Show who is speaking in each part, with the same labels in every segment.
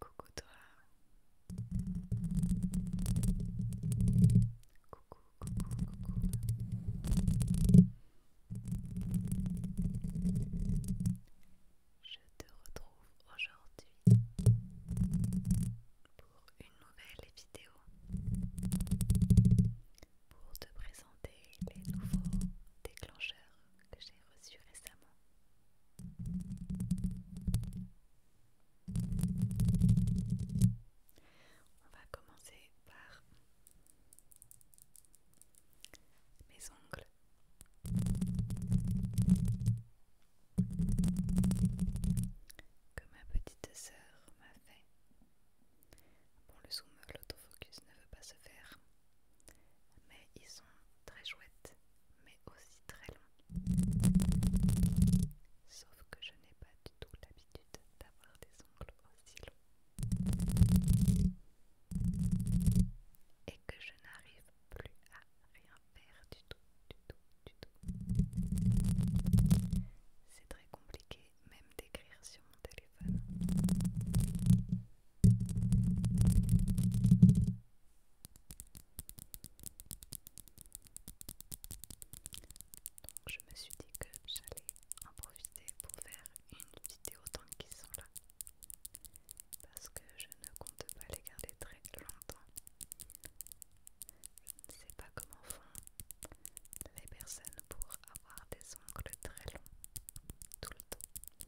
Speaker 1: Coucou toi. Coucou, coucou, coucou. Je te retrouve aujourd'hui pour une nouvelle vidéo pour te présenter les nouveaux déclencheurs que j'ai reçu récemment. On va commencer par mes ongles. Que ma petite sœur m'a fait. Bon, le zoom, l'autofocus ne veut pas se faire mais ils sont très chouettes, mais aussi très longs. Sauf que je n'ai pas du tout l'habitude d'avoir des ongles aussi longs. Et que je n'arrive plus à rien faire du tout, du tout, du tout. C'est très compliqué même d'écrire sur mon téléphone. Donc je me suis dit que j'allais en profiter pour faire une vidéo tant qu'ils sont là. Parce que je ne compte pas les garder très longtemps. Je ne sais pas comment font les personnes pour avoir des ongles très longs tout le temps.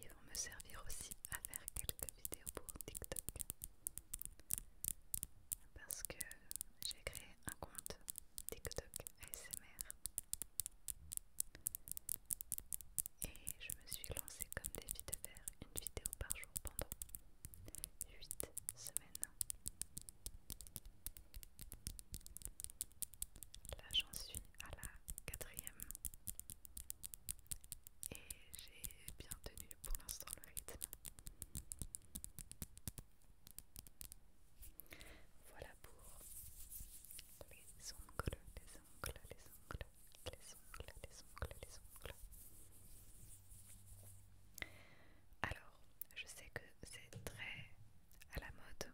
Speaker 1: Ils vont me servir aussi à faire quelques vidéos pour TikTok. Parce que j'ai créé un compte TikTok ASMR. Et je me suis lancée comme défi de faire une vidéo par jour pendant 8 semaines. Là j'en suis à la quatrième. Et j'ai bien tenu pour l'instant le rythme. Voilà pour les ongles, les ongles, les ongles, les ongles, les ongles, les ongles. Alors, je sais que c'est très à la mode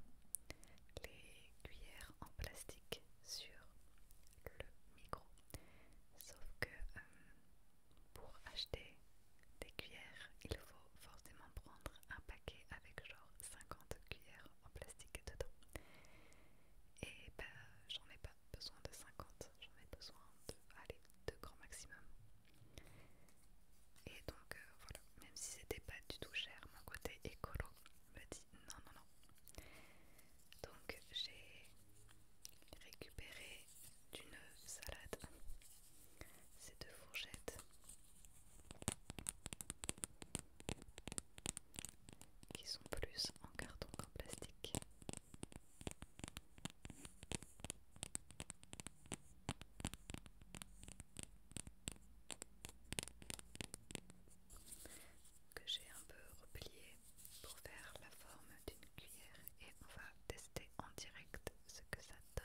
Speaker 1: les cuillères en plastique sur le micro. Sauf que euh, pour acheter des cuillères, il faut forcément prendre un paquet avec genre 50 cuillères en plastique dedans. Et ben j'en ai pas besoin de 50, j'en ai besoin de, allez, deux grands maximum. Et donc euh, voilà, même si c'était pas du tout cher, mon côté écolo m'a dit non, non, non. Donc j'ai récupéré d'une salade ces deux fourchettes qui sont plus en carton qu'en plastique que j'ai un peu replié pour faire la forme d'une cuillère et on va tester en direct ce que ça donne.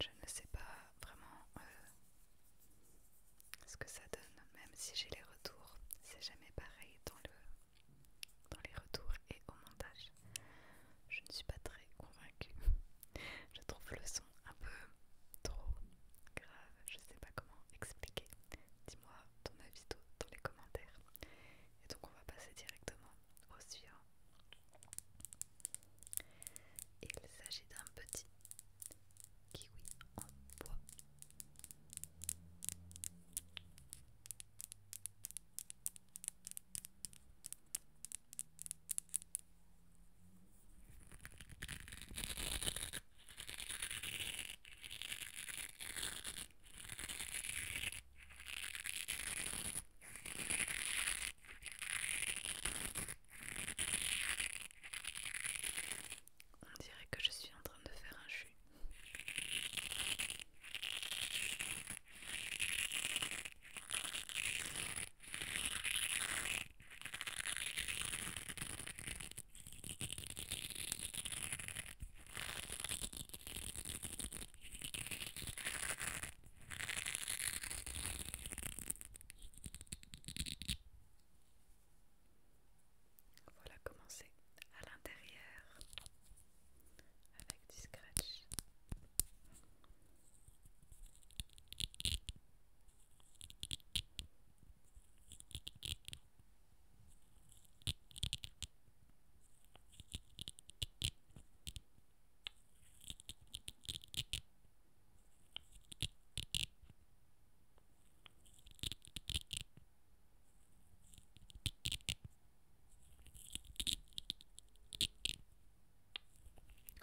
Speaker 1: je ne sais pas vraiment euh, ce que ça donne, même si j'ai les retours, c'est jamais pareil dans, les retours et au montage. Je ne suis pas très convaincue. Je trouve le son un peu trop grave, je ne sais pas comment expliquer. Dis-moi ton avis dans les commentaires. Et donc on va passer directement au suivant. Il s'agit d'un petit kiwi en bois. On dirait que je suis en train de faire un jus. Voilà commencez à l'intérieur avec du scratch.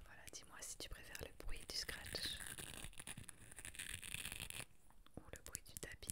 Speaker 1: Voilà, dis-moi si tu préfères le bruit du scratch ou le bruit du tapping.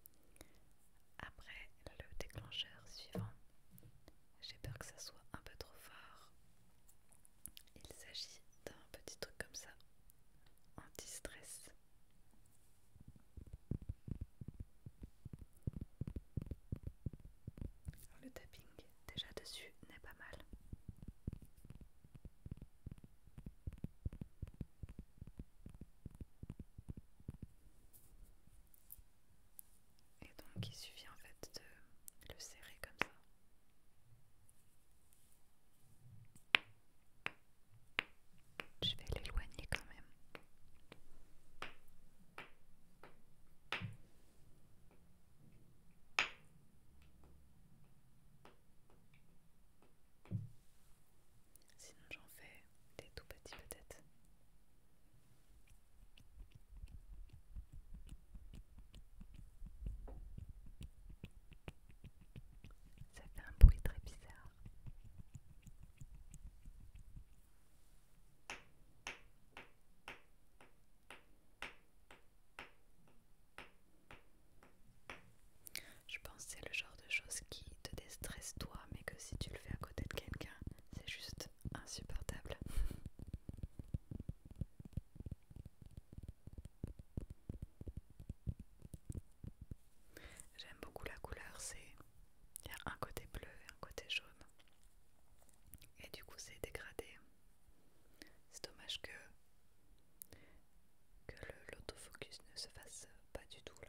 Speaker 1: Après le déclencheur suivant, j'ai peur que ça soit un peu trop fort. Il s'agit d'un petit truc comme ça, anti-stress. Le tapping déjà dessus n'est pas mal. Et donc il suffit en fait de le serrer comme ça. Je vais l'éloigner quand même. Sinon j'en fais des tout petits peut-être. Ça fait un bruit très bizarre. Je pense que c'est le genre de chose qui te déstresse toi, mais que si tu le fais à côté de quelqu'un, c'est juste insupportable. J'aime beaucoup la couleur, c'est il y a un côté bleu et un côté jaune. Et du coup, c'est dégradé. C'est dommage que que l'autofocus ne se fasse pas du tout là.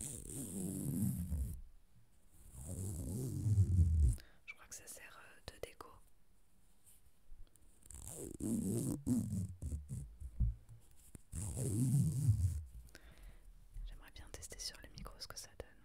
Speaker 1: Je crois que ça sert euh, de déco. J'aimerais bien tester sur le micro ce que ça donne.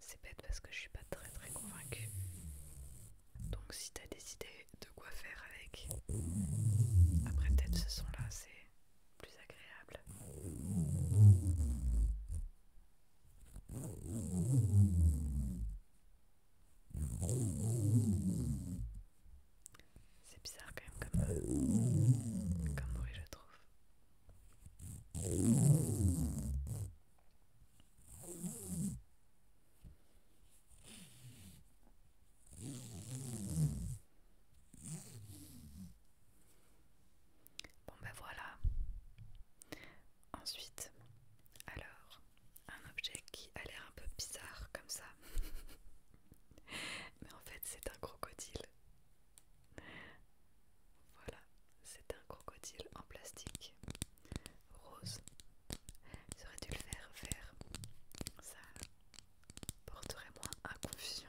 Speaker 1: c'est bête parce que je suis pas très très convaincue. Donc si t'as des idées de quoi faire avec, après peut-être ce son là c'est plus agréable. C'est bizarre quand même comme, comme bruit je trouve. Bon ben voilà. Ensuite, alors, un objet qui a l'air un peu bizarre comme ça. Mais en fait, c'est un crocodile. Voilà. C'est un crocodile en plastique rose. J'aurais dû le faire faire Ça porterait moins à confusion.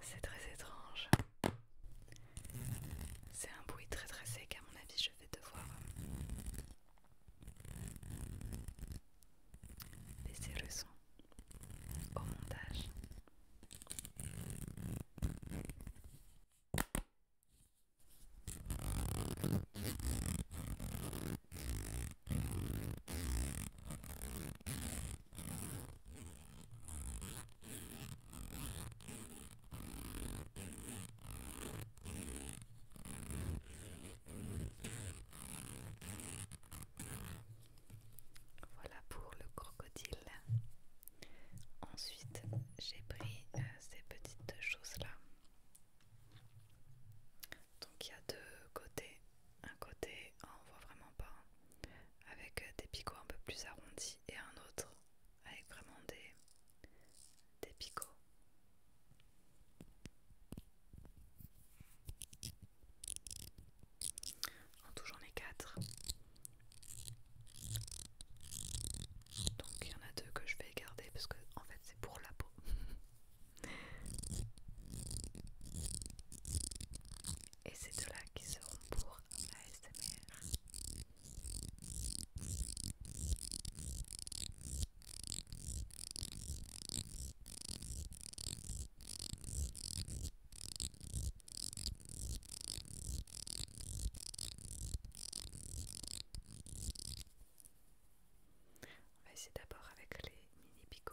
Speaker 1: C'est très étrange. C'est un bruit très très sec, à mon avis, je vais devoir euh, baisser le son au montage. Voilà pour le crocodile. Ensuite, j'ai pris euh, ces petites choses-là. Donc il y a deux côtés. Un côté, on voit vraiment pas avec euh, des picots un peu plus arrondis et un autre avec vraiment des, des picots. En tout j'en ai quatre. Donc il y en a deux que je vais garder parce que en fait c'est pour la peau. et c'est de là qui seront pour SMR On va essayer d'abord avec les mini picots.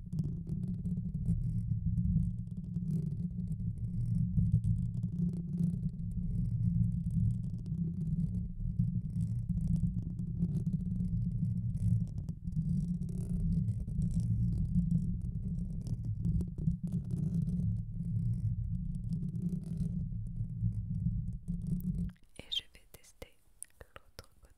Speaker 1: Et je vais tester l'autre côté.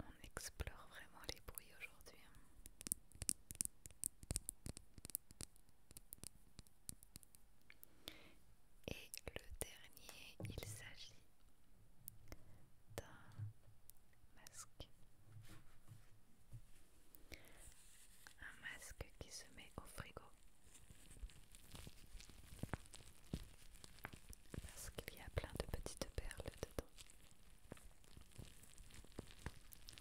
Speaker 1: On explore vraiment les bruits aujourd'hui. Hein. Et le dernier, il s'agit d'un masque. Un masque qui se met au frigo parce qu'il y a plein de petites perles dedans.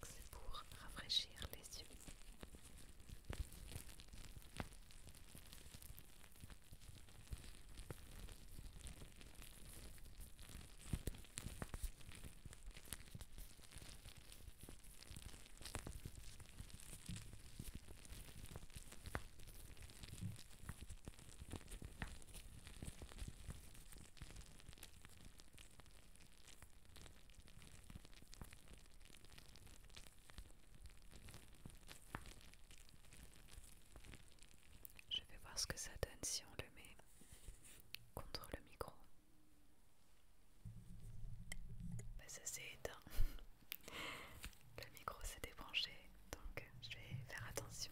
Speaker 1: C'est pour rafraîchir les yeux. Je vais voir ce que ça donne si on le met contre le micro. Bah, ça s'est éteint. Le micro s'est débranché, donc je vais faire attention.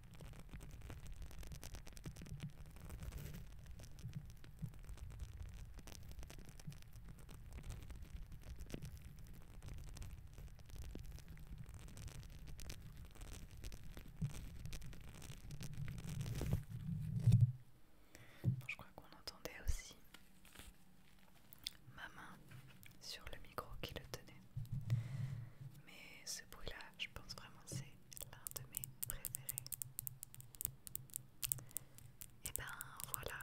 Speaker 1: je crois qu'on entendait aussi ma main sur le micro qui le tenait. Mais ce bruit-là, je pense vraiment c'est l'un de mes préférés. Et ben voilà,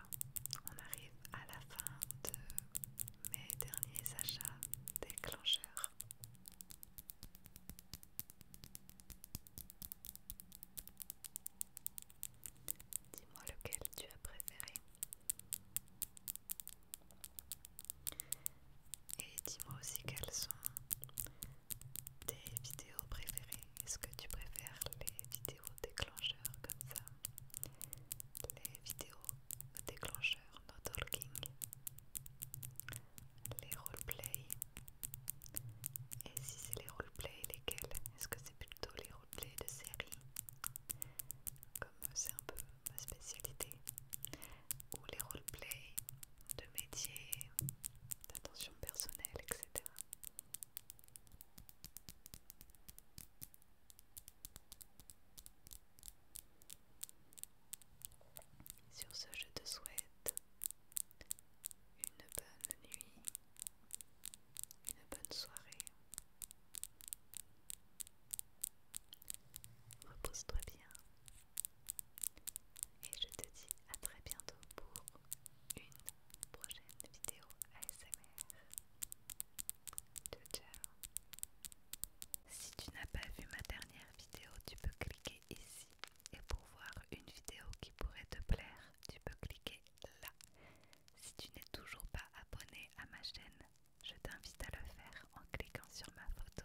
Speaker 1: on arrive à la fin de mes derniers achats déclencheurs. Dis-moi lequel tu as préféré. Et dis-moi aussi quels sont tes vidéos préférées Est-ce que tu préfères les vidéos déclencheurs comme ça Les vidéos déclencheurs no talking Les roleplays Et si c'est les roleplays, lesquels Est-ce que c'est plutôt les roleplays de série Comme euh, c'est un peu ma spécialité ou les roleplays de métiers, d'attention personnelle, etc. Sur ce, je te souhaite une bonne nuit, une bonne soirée. Repose-toi bien. Et je te dis à très bientôt pour une prochaine vidéo ASMR. Ciao ciao. Si tu n'as pas vu ma dernière vidéo, tu peux cliquer ici. Et pour voir une vidéo qui pourrait te plaire, tu peux cliquer là. Si tu n'es toujours pas abonné à ma chaîne, je t'invite à le faire en cliquant sur ma photo.